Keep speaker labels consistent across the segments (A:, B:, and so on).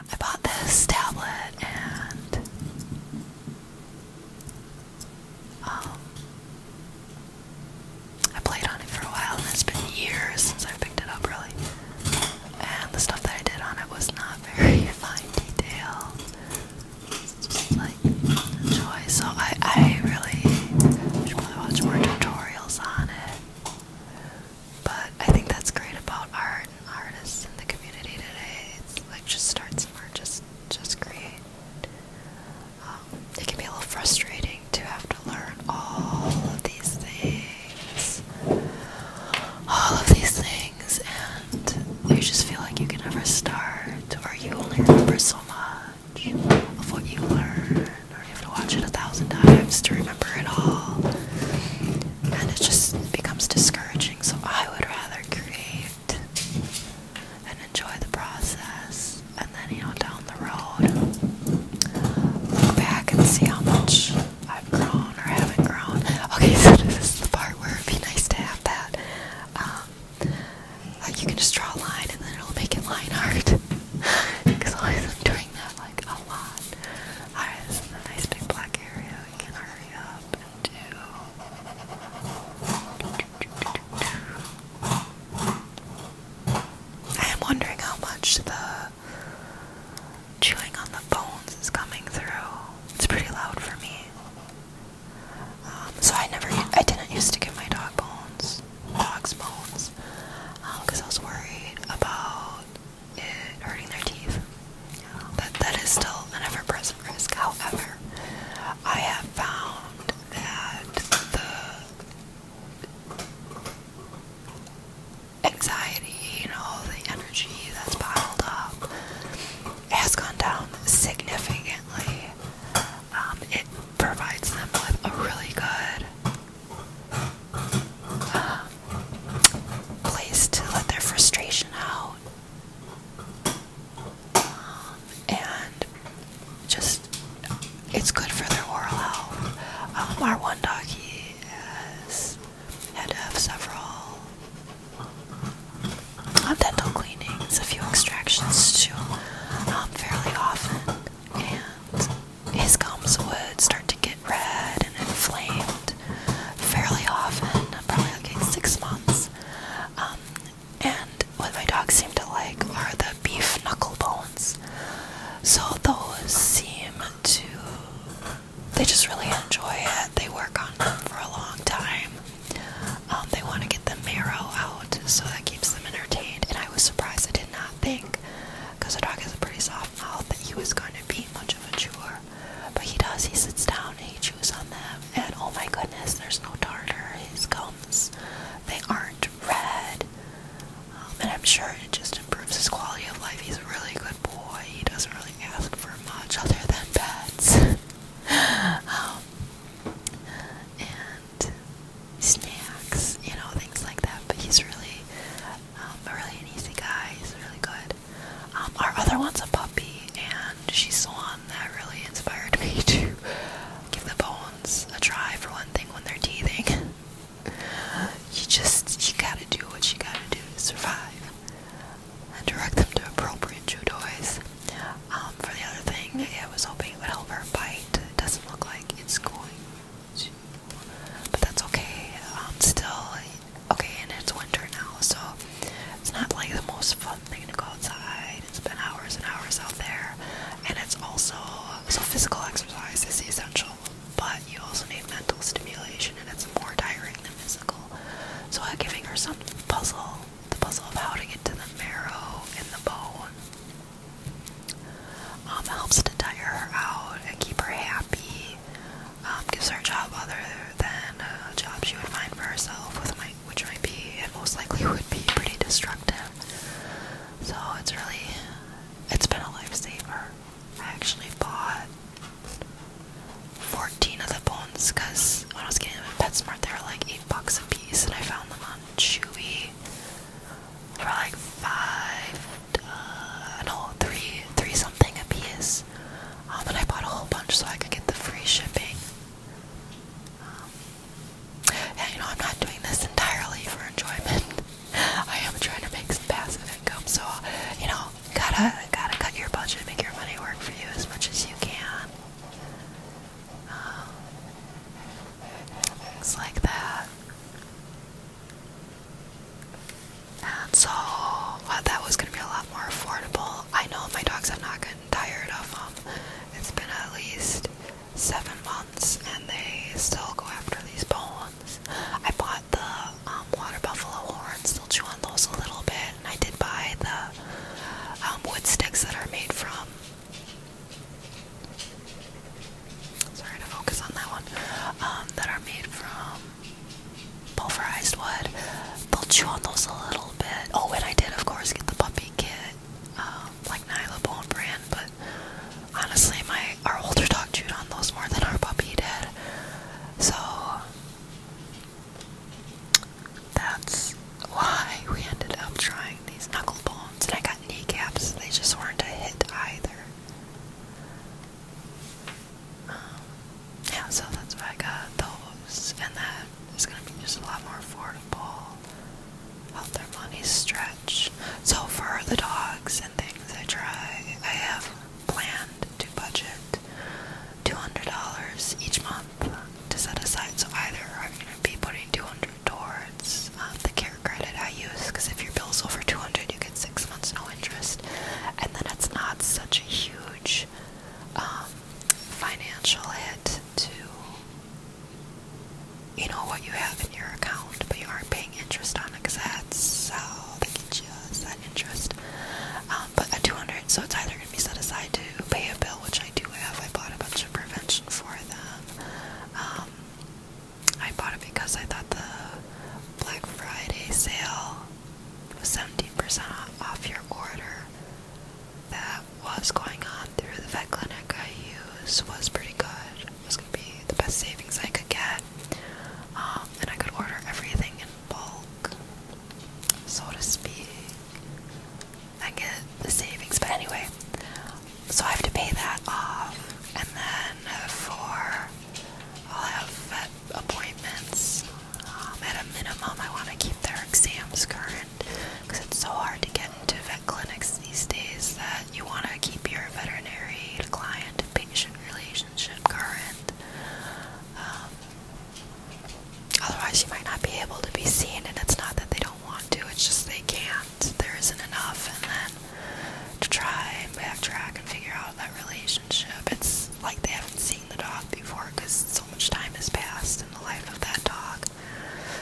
A: I bought this tablet and um, I played on it for a while and it's been years since I picked it up really. And the stuff that I did on it was not very fine detail. just like joy. So I, I really should probably watch more tutorials on it. But I think that's great about art and artists in the community today. It's like just start somewhere, just just create. Um, it can be a little frustrating to have to learn all of these things, all of these things, and you just feel like you can never start, or you only remember so much of what you learn, or you have to watch it a thousand times to remember it all and it just becomes discouraging. So I would rather create and enjoy the process, and then you know down the road, look back and see how much I've grown or haven't grown. Okay, so this is the part where it'd be nice to have that. Um, you can just draw a line, and then it'll make it line art. Because I'm doing that like a lot. Alright, this is a nice big black area. I am wondering how much the chewing on the bones is coming through. It's pretty loud for me. Um, so I never, I didn't used to give my dog bones, dog's bones, because um, I was worried about it hurting their teeth. That that is still an ever-present risk. However, I have found that the anxiety, and all the energy that's piled up has gone down significantly. Um, it provides them with a really good um, place to let their frustration out um, and just it's good for their oral health. Um, our one dog he has had to have several uh, dental cleanings, a few extractions too, um, fairly often, and his gums would start to get it red and inflamed fairly often, probably like six months. Um, and what my dogs seem to like are the beef knuckle bones. So those seem to, they just really enjoy it. They work on them for a long time. Um, they want to get the marrow out, so that keeps them entertained. And I was surprised, I did not think, because the dog has a pretty soft mouth, that he was going to be much of a chewer. But he does, he sits down and he chews on them. And oh my goodness, there's no tartar. His gums, they aren't red. Um, and I'm sure it just improves his quality of life. He's a really good boy. He doesn't really ask for much other than pets. um, and snacks, you know, things like that. But he's really um, really easy guy. He's really good. Um, our other one's a puppy, and she's the one that really inspired me to give the bones a try for one thing when they're teething. you just, you gotta do what you gotta do to survive and direct them to appropriate chew toys. Um, for the other thing, I was hoping it would help her bite. It doesn't look like it's going to, but that's okay. I'm um, still, okay, and it's winter now, so it's not like the most fun thing to go outside. It's been hours and hours out there, and it's also so physical exercise is essential, but you also need mental stimulation, and it's more tiring than physical. So, uh, giving her some puzzle the puzzle of how to get to the marrow in the bone um, helps to tire her out and keep her happy um, gives her a job other than a job she would find for herself, with my, which might be and most likely would be pretty destructive. So it's really, it's been a lifesaver. I actually bought 14 of the bones because when I was getting them at PetSmart, they were like 8 bucks a piece, and I found them on Chewy for like five, uh, no, three, three something a piece. Um, I bought a whole bunch so I could get the free shipping. Um, and you know, I'm not doing this entirely for enjoyment. I am trying to make some passive income, so you know, gotta gotta cut your budget, make your money work for you as much as you can. Um, things like that and so well, that was gonna be a lot more affordable. I know my dogs have not gotten tired of them. It's been at least seven months, and they still go after these bones. I bought the um, water buffalo horns. Still chew on those a little bit, and I did buy the um, wood sticks that are made from. Sorry to focus on that one. Um, that are made from pulverized wood. They'll chew on those a little bit. Oh, and I did, of course, get the puppy kit, um, like Nyla Bone brand. But honestly, my our older dog chewed on those more than our puppy did. So that's why we ended up trying these knuckle bones, and I got kneecaps. They just weren't a hit either. Um, yeah, so that's why I got those, and that is gonna be just a lot more affordable. Out their money stretch. So for the dogs and things, I try. I have planned to budget two hundred dollars each month to set aside. So either I'm gonna be putting two hundred towards um, the care credit I use, because if your bill's over two hundred, you get six months no interest, and then it's not such a huge um, financial hit to you know what you have in your account, but you aren't paying interest on it because that's how they get you is that interest. Um, but a 200, so it's either going to be set aside to pay a bill, which I do have. I bought a bunch of prevention for them. Um, I bought it because I thought the Black Friday sale 17% off your order that was going on through the vet clinic I use was pretty good. It was going to be the best savings I could get. Um, and I could order everything in bulk, so to speak. I get the savings, but anyway, so I have to pay that off, and then for I'll have uh, appointments. Um, at a minimum, I want to keep their exams current because it's so hard to get into vet clinics these days that you want to keep your veterinary client patient relationship current. Um, otherwise, you might not be able to be seen, and it's not that they don't want to, it's just they can't. There isn't enough, and then to try and backtrack and figure out that relationship relationship. It's like they haven't seen the dog before because so much time has passed in the life of that dog.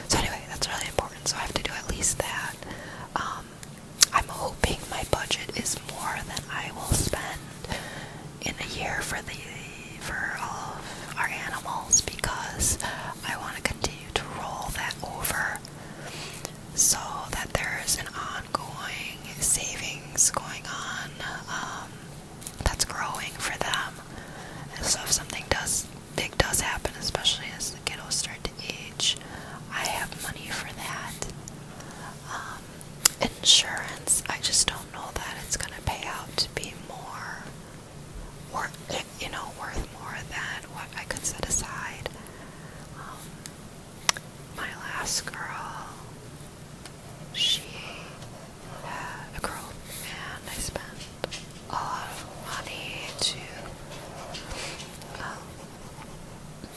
A: So, anyway, that's really important. So, I have to do at least that. Um, I'm hoping my budget is more than I will spend in a year for the for all our animals because I want to continue to roll that over so that there's an ongoing savings going on um, that's growing for them. And so if something does big does happen, especially as the kiddos start to age, I have money for that. Um, insurance, I just don't know that it's gonna pay out to be more, or you know, worth more than what I could set aside. Um, my last girl she had uh, a girl, and I spent a lot of money to um,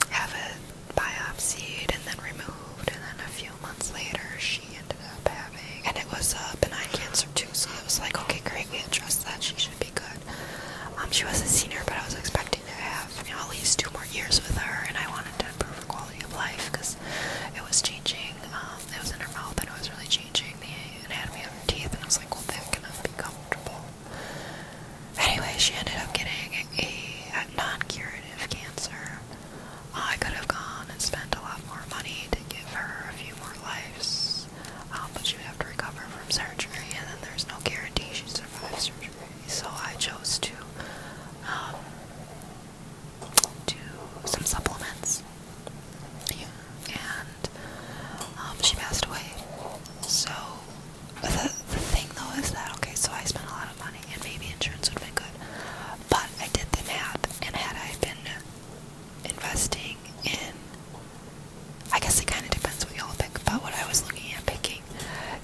A: have it biopsied and then removed, and then a few months later she ended up having, and it was a benign cancer too, so it was like, okay, great, we addressed that, she should be good. Um, she was a senior, but I was expecting to have at least two more years with her, and I wanted to quality of life because it was changing. Um, it was in her mouth and it was really changing the anatomy of her teeth. And I was like, well, that cannot be comfortable. Anyway, she ended up getting a, a non-curative cancer. I could have gone and spent a lot more money to give her a few more lives, um, but she would have to recover from surgery, and then there's no guarantee she survives surgery. So I chose to um, to some supplements. And um, she passed away. So the, the thing though is that okay, so I spent a lot of money and maybe insurance would be good. But I did the math and had I been investing in I guess it kinda depends what y'all pick, but what I was looking at picking,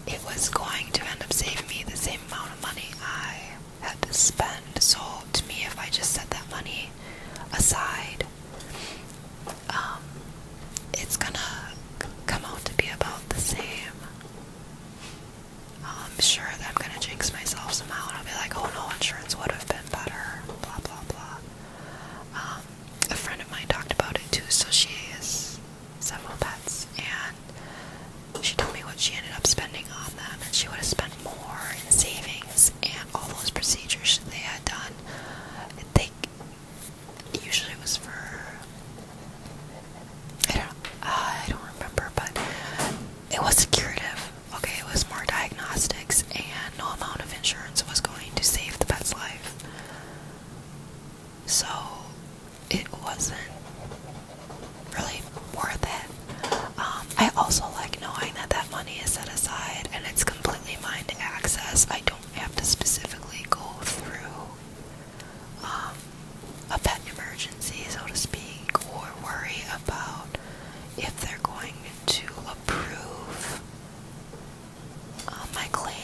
A: it was going to end up saving me the same amount of money I had to spend. So to me, if I just set that money aside, um, it's gonna come out to be about the same. I'm sure that I'm gonna jinx myself somehow, and I'll be like, "Oh no, insurance would have been better." Blah blah blah. Um, a friend of mine talked about it too, so she has several pets, and she told me what she ended up spending on them, and she would have spent more in savings and all those procedures they had done. They usually it was for I don't uh, I don't remember, but it was curative. Okay, it was more diagnostics, and no amount of insurance was going to save the pet's life. So it wasn't really worth it. Um, I also like knowing that that money is set aside and it's completely mine to access. I don't have to specifically go through um, a pet emergency, so to speak, or worry about if they're going to approve uh, my claim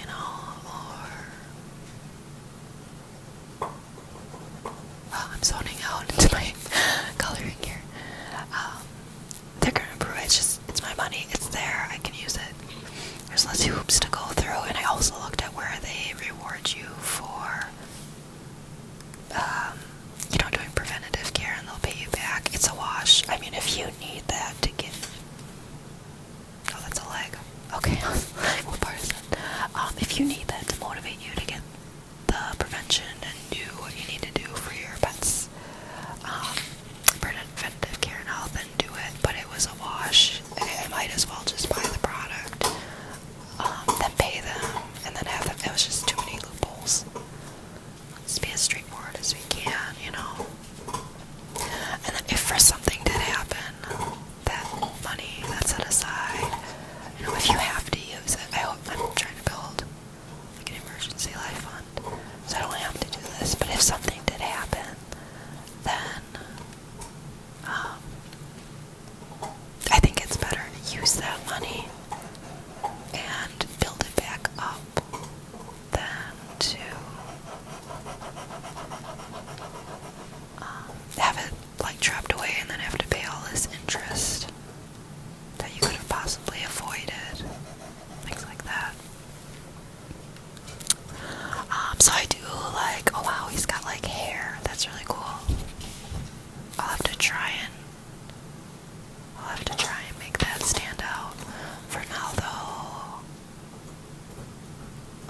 A: and all our. I'm zoning out into my coloring here. Um, they're gonna approve It's just it's my money. It's there. I can use it. There's less hoops to go through, and I also looked at where they reward you for, um, you know, doing preventative care, and they'll pay you back. It's a wash. I mean, if you need that to get Oh, that's a leg. Okay, what part is that? Um, if you need that to motivate you to get the prevention and do what you need to do for your pets, um, preventive care and health, then do it. But it was a wash. I might as well just buy the product, um, then pay them, and then have them. It was just too many loopholes. Let's be as straightforward as we can, you know. And then if for something did happen, that money that's set aside, if you have to use it. I hope I'm trying to build like an emergency life fund, so I don't have to do this. But if something did happen, then um, I think it's better to use that money and build it back up than to um, have it like trapped away and then have to pay all this interest that you could have possibly avoided. Things like that. Um, so I do like, oh wow, he's got like hair. That's really cool. I'll have to try and I'll have to try and make that stand out. For now though,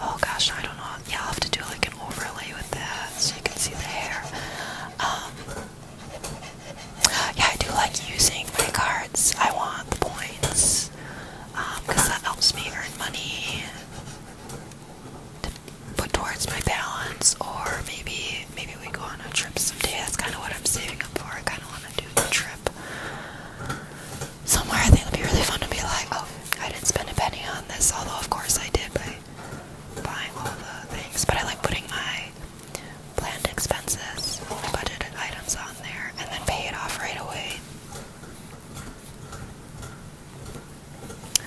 A: Oh gosh, I don't know. Yeah, I'll have to do like an overlay with that so you can see the hair. Um, yeah, I do like using my cards. I want the points because um, that helps me earn money put towards my balance, or maybe maybe we go on a trip someday. That's kind of what I'm saving up for. I kind of want to do a trip somewhere I think it'd be really fun to be like, oh, I didn't spend a penny on this, although of course I did by buying all the things. But I like putting my planned expenses, budgeted items on there, and then pay it off right away.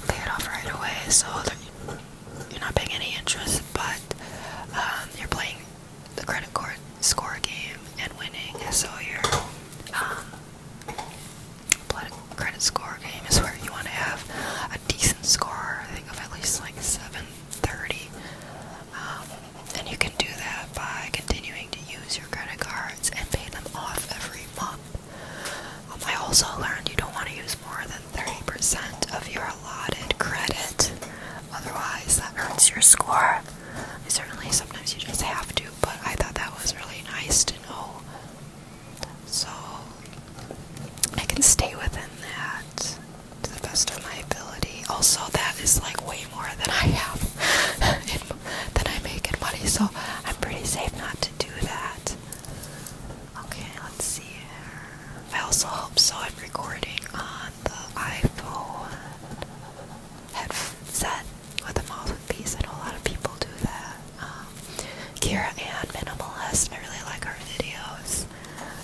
A: Pay it off right away, so you're not paying any interest, but um, you're playing the credit card score game and winning, so you're um, Blood credit score game is where you want to have a decent score, I think of at least like 730. Um, and you can do that by continuing to use your credit cards and pay them off every month. Um, I also learned you don't want to use more than 30% of your allotted credit, otherwise, that hurts your score. Certainly, sometimes you just have to but I thought that was really nice to know. So I can stay within that to the best of my ability. Also, that is like way more than I have in, than I make in money, so I'm pretty safe not to do that. Okay, let's see here. I also hope so. I'm recording on the iPhone headset with a moth and piece. I know a lot of people do that. Um, Kira and Minimalist, I really like her videos.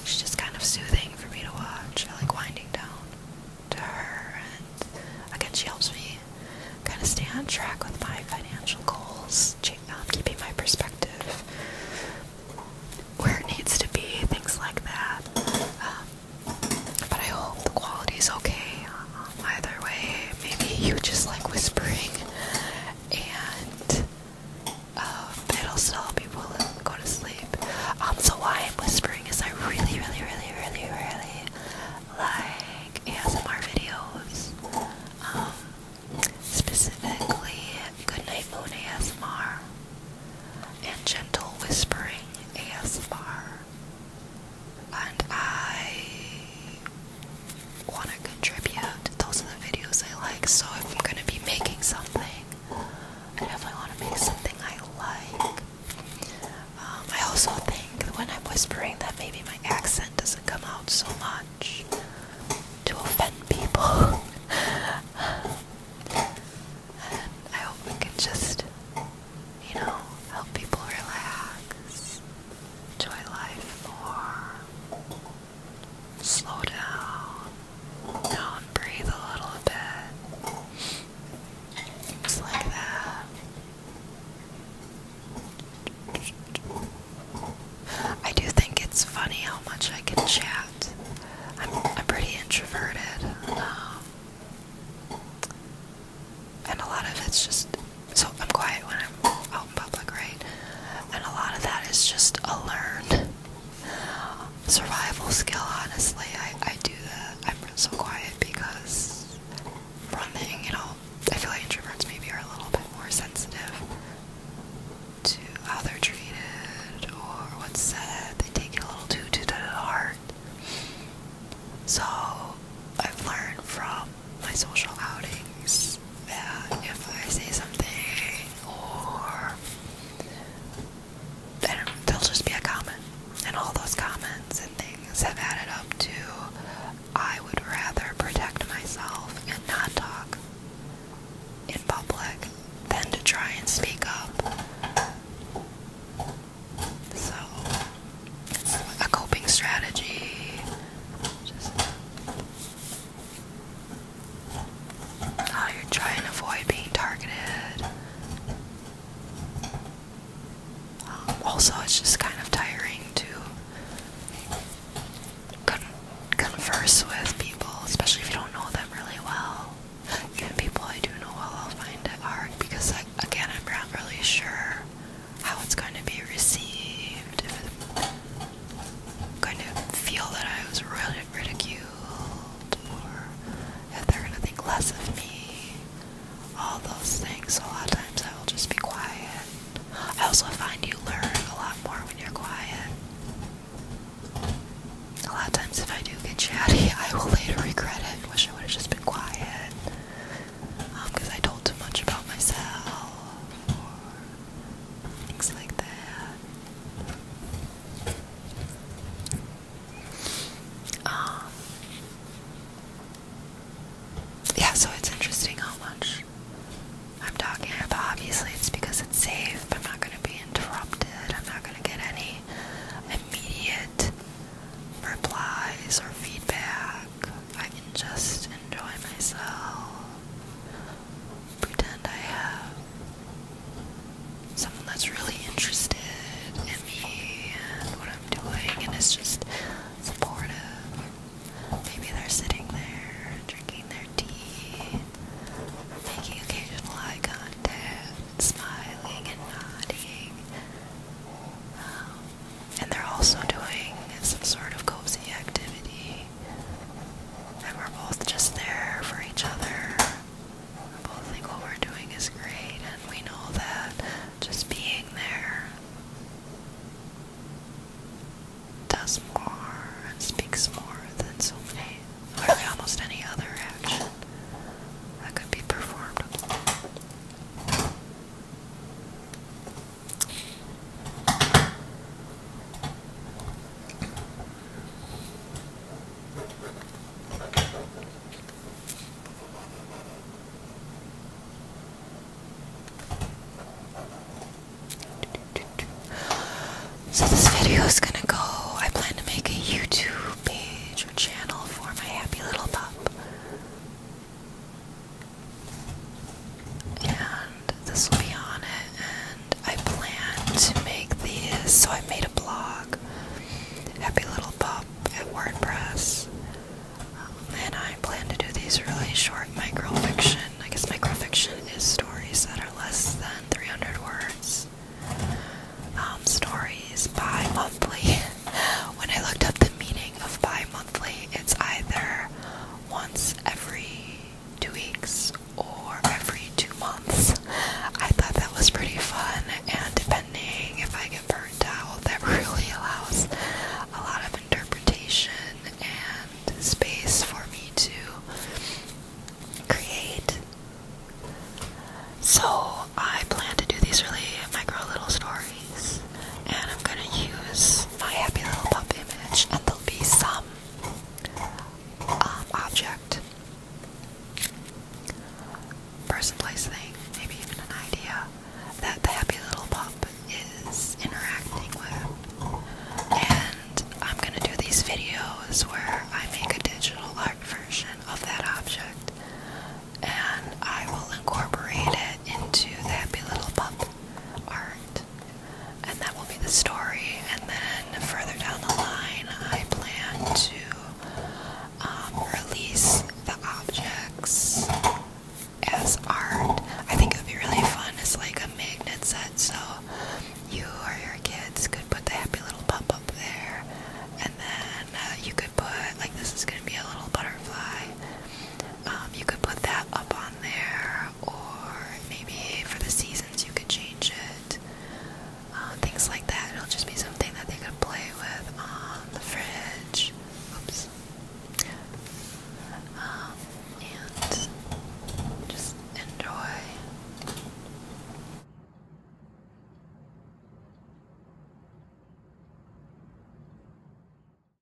A: She's just kind of soothing for me to watch. I like winding down to her, and again, she helps me kind of stay on track with my financial goals, um, keeping my perspective where it needs to be, things like that. Um, but I hope the quality is okay either way, maybe you just like whispering, and um, it'll still help people go to sleep. Um, so why I'm whispering is I really, really, really, really, really like ASMR videos. Um, specifically, Goodnight Moon ASMR and Gentle Whispering ASMR and I want to contribute. Those are the videos I like, so if I'm gonna be making something, I definitely want to make something I like. Um, I also think when I'm whispering that maybe my accent doesn't come out so much to offend people. and I hope we can just, you know, help people relax enjoy life more. Slow down. breathe a little bit. Just like that. I do think it's funny how much I can chat. I'm, I'm pretty introverted. Um, and a lot of it's just so I'm quiet when I'm out in public, right? And a lot of that is just a learned survival skill. Honestly, I I do that. I'm so quiet because running, you know, I feel like introverts maybe are a little bit more sensitive to how they're treated or what's said. They take it a little too too to the heart. So I've learned from my social outings Yeah, if I say something or then there'll just be a comment. And all those comments and things have added up to I would rather protect myself and not talk in public than to try and speak up. So a coping strategy. Just how you're trying to avoid being targeted. Um, also, it's just kind of tiring to converse with people, especially if you don't know them really well. Even people I do know well, I'll find it hard because, I, again, I'm not really sure how it's going to be received. If going to feel that I was really ridiculed, or if they're going to think less of me. All those things. So a lot of times I will just be quiet. I also find you learn a lot more when you're quiet. A lot of times, if I do get chatty, I will later regret it. Wish I would have just been quiet because um, I told too much about myself things like that. Um, yeah, so it's interesting how much I'm talking about. Obviously, it's because it's safe. I'm not going to be interrupted. I'm not going to get any immediate replies or feedback I can just enjoy myself, pretend I have someone that's really interested in me and what I'm doing, and it's just supportive. Maybe they're sitting there drinking their tea, making occasional eye contact, smiling and nodding. Um, and they're also doing some sort of cozy activity. And we're both just there for each other. We both think what we're doing is great, and we know that just being there does more and speaks more than so many, really almost any other action that could be performed. So this video is gonna go. I plan to make a YouTube page or channel for my happy little pup. And this will be on it. And I plan to make these. So I made a blog, Happy Little Pup at WordPress. Um, and I plan to do these really short microfiction. I guess microfiction is stories that are less than 300 words. Um, stories bi monthly. when I looked up the meaning of bi monthly, it's either once every two weeks or every two months. I thought that was pretty fun, and depending if I get burnt out, that really allows a lot of interpretation and space for me to create. So I plan to do these really micro little stories and I'm gonna use my happy little pup image and there'll be some um, object, person, place, thing, maybe even an idea that the happy little pup is interacting with. And I'm gonna do these videos where I make a digital art version of that object and I will incorporate it into the Happy Little Pup art. And that will be the story. And then further down the line, I plan to um, release the objects as art. I think it would be really fun. It's like a magnet set, so you or your kids could put the happy little pup up there, and then uh, you could put, like, this is going to be a little butterfly, um, you could put that up on there, or maybe for the seasons you could change it. Uh, things like that. It'll just be something that they could play with on the fridge. Oops. Um, and just enjoy.